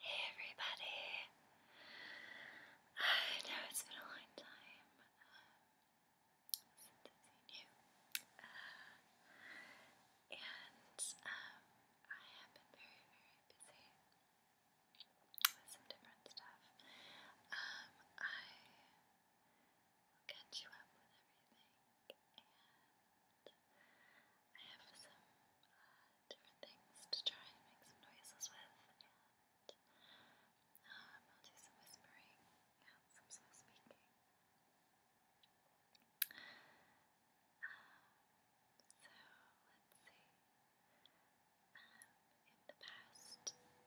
Hey everybody! I know it's been a long time um, since I've seen you, uh, and um, I have been very, very busy with some different stuff. Um, I I'll catch you up with everything, and I have some uh, different things to try and make some noises with, and um, I'll do some whispering some slow speaking. Um, so, let's see. Um, in the past couple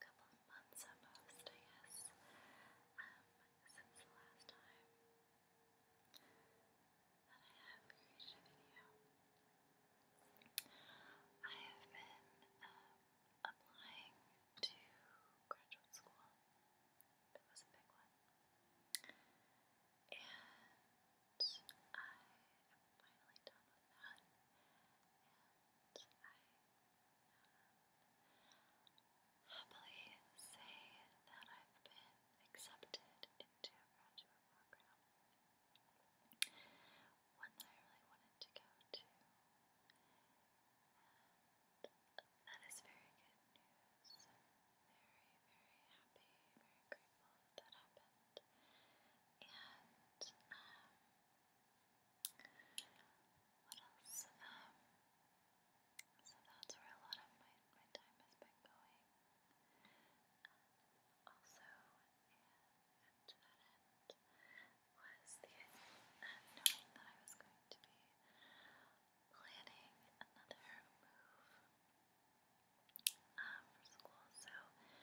couple of months almost, I guess, um, since the last time that I have created a video. I have been um, applying to graduate school. That was a big one. And I am finally done with that. And I happily say that I've been accepted into a graduate program, one that I really wanted to go to, that is very good news. Very, very happy, very grateful that happened, and um, what else? so that's where a lot of my, my time has been going. also, and to that end, was the knowing that I was going to be planning another move uh, for school. So I will be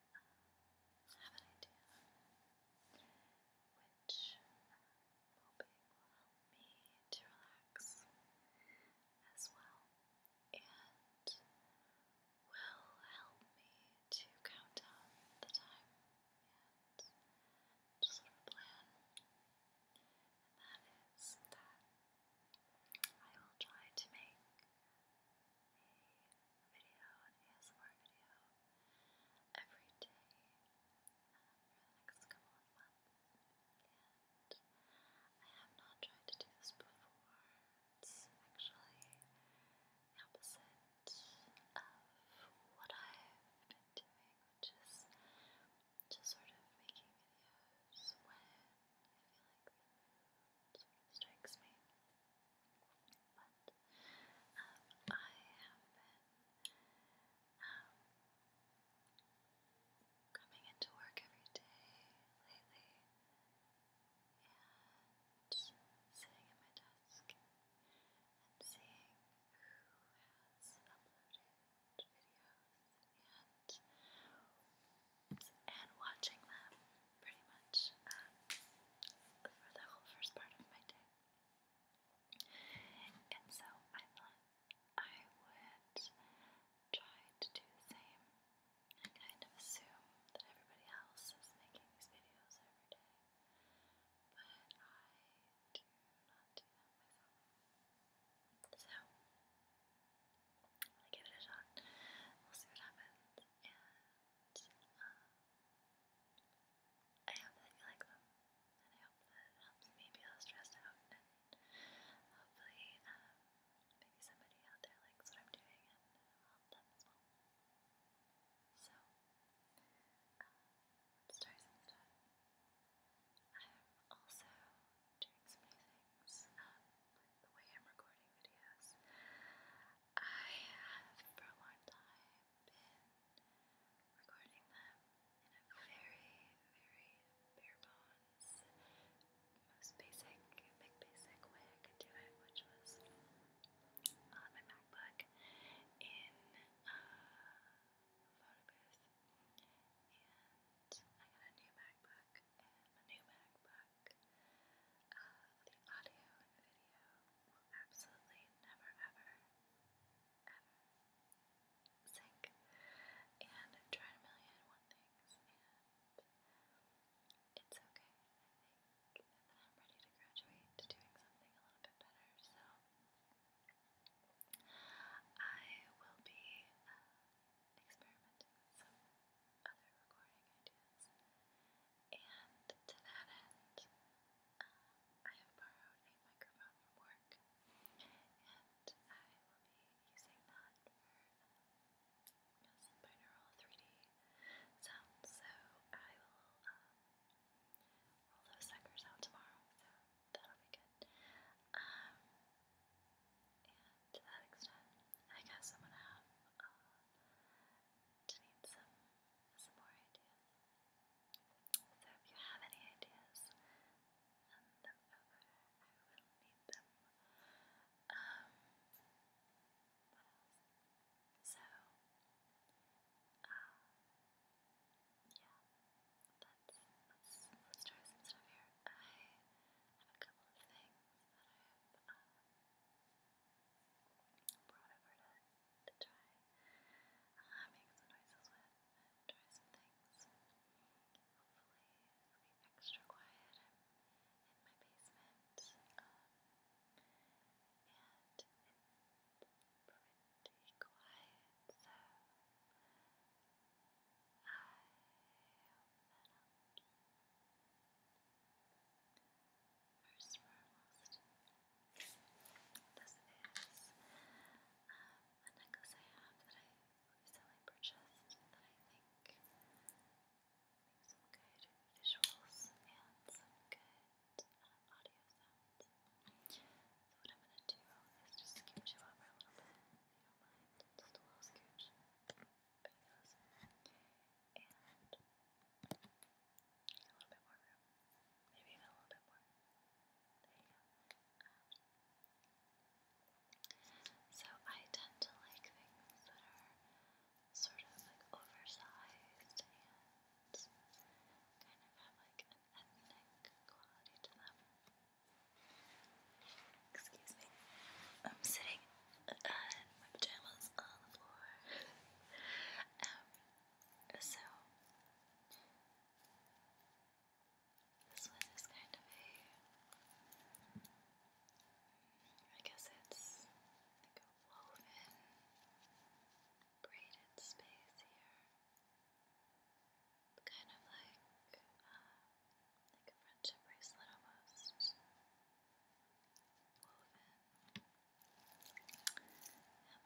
have an idea which moping will help me to relax as well and will help me to count down the time and sort of plan. And that is that I will try to make video, an ASMR video every day uh, for the next couple of months. And I have not tried to do this before. actually opposite of what I've been doing, which is just sort of making videos when I feel like the strikes me. But um, I have been um, coming into work every day lately and sitting at my desk and seeing who has uploaded videos and and watching them pretty much um, for the whole first part of my day. And so I thought I would try to do the same and kind of assume that everybody else is making these videos every day, but I do not do that myself. So, i will give it a shot. We'll see what happens. And um, I hope that you like them. And I hope that it helps me be stressed out. And hopefully, um, maybe somebody out there likes what I'm doing and it'll help So, um, let stuff. I'm also doing some new things things up um, the way I'm recording videos. I have for a long time been recording them in a very, very bare bones, most basic, big basic way I could do it, which was on uh, my MacBook in a uh, photo booth. And I got a new MacBook, and my new MacBook back. Uh, the audio and video will absolutely never, ever, ever sync. And i a million and one things, and it's okay, I am ready to graduate to doing something a little bit better, so I will be. Uh, experimenting with some other recording ideas. And to that end, uh, I have borrowed a microphone from work, and I will be using that for um, binaural 3D sounds. So I will um, roll those suckers out tomorrow, so that'll be good. Um, and to that extent, I guess I'm gonna have to uh, need some some more ideas. So if you have any ideas, send them over. I will need them. Um, what else? So, uh, yeah, let's, let's, let's try some stuff here. I have a couple of things that I brought over to, to try make some noises with try some things. Hopefully, be extra quiet. in my basement, um, and it's pretty quiet, so. First we're this is a necklace I have that I recently purchased that I think makes some good visuals and some good audio sounds. So what I'm gonna do is just scoot you over a little bit you don't mind, just a little scooch. Pretty awesome. And a little bit more room. Maybe even a little bit more. There you go. so I tend to like things that are sort of like oversized and kind of have like an ethnic quality to them. Excuse me. I'm sitting uh, in my pajamas on the floor. Um, so, this one is kind of a. I guess it's like a woven, braided space here. Kind of like. Uh, like a friendship bracelet almost, woven.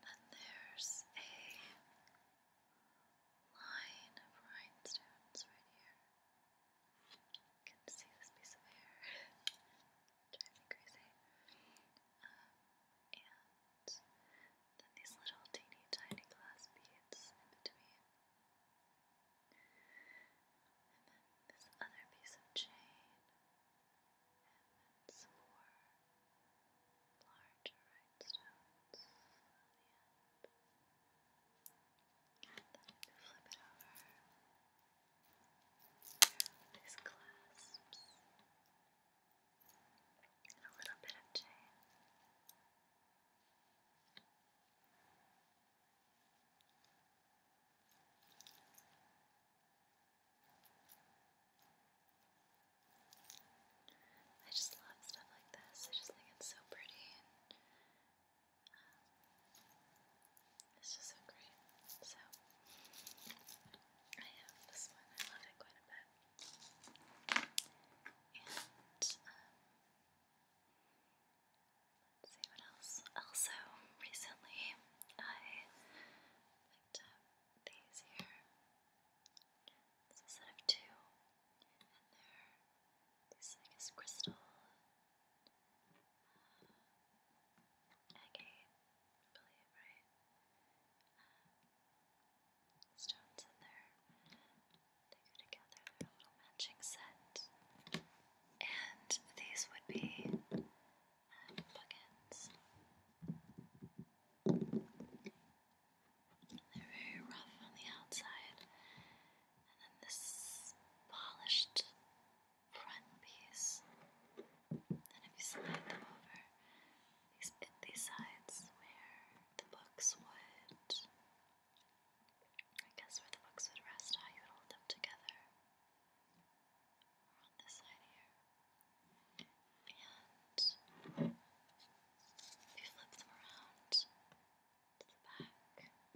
And then there's a line of rhinestones right here. You can see this piece of hair. Drive me crazy. Um, and then these little teeny tiny glass beads in between. And then this other piece of chain. And then some more larger rhinestones on the end. then we flip it over. these clasps. And a little bit of chain. I just love stuff like this. I just think it's so pretty um, it's just so great. So I have this one. I love it quite a bit. And um, see what else. Also, recently I picked up these here. It's a set of two, and they're these, I guess, crystal agate, uh, I believe, right? Um, stones in there. They go together, they a little matching set. And these would be buckets. Um, They're very rough on the outside. And then this polished front piece. And if you slide them over, these, these sides where the books would, I guess where the books would rest, how you would hold them together, on this side here, and if you flip them around to the back,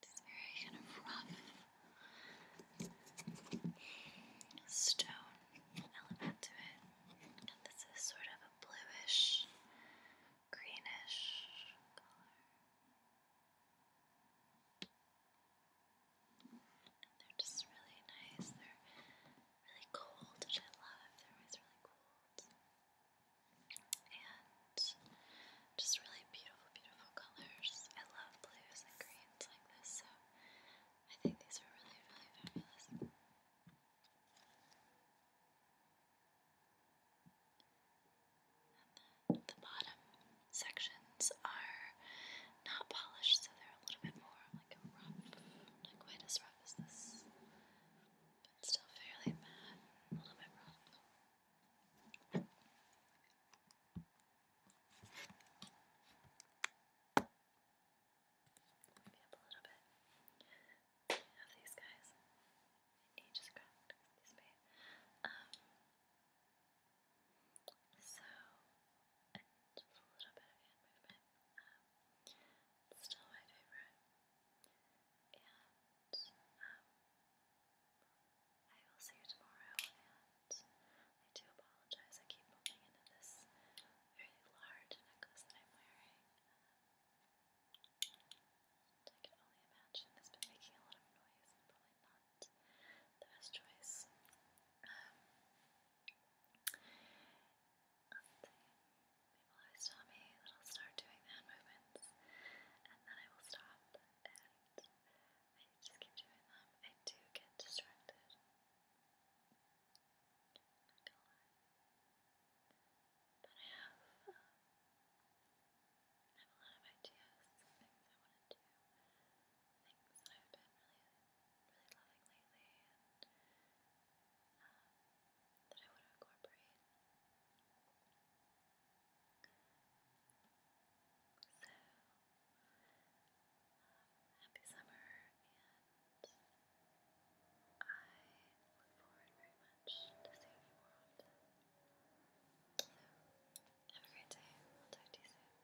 it's very kind of rough stone element to it. And this is sort of a bluish, greenish color. they're just really nice. They're really cold, which I love. They're always really cold and just really beautiful, beautiful colors. I love blues and greens like this, so I think these are really, really fabulous. And the, the bottom sections are not polished, so they're a little bit more like rough, not quite as rough as this but still fairly bad, a little bit rough. up a little bit. these guys. Age is cracked, excuse me. Um, so, just a little bit of hand movement. Um, still my favorite. And um, I will see you tomorrow. And I do apologize, I keep bumping into this very large necklace that I'm wearing. I can only imagine it's been making a lot of noise probably not the best choice. Um, People always tell me that I'll start doing the hand movements and then I will stop, and I just keep doing them. I do get distracted. not gonna lie. But I have, um, I have a lot of ideas, things I want to do, things I've been really, really loving lately, um, that I want to incorporate. So, um, happy summer, and I look forward very much to seeing you more often. So, have a great day. I'll talk to you soon.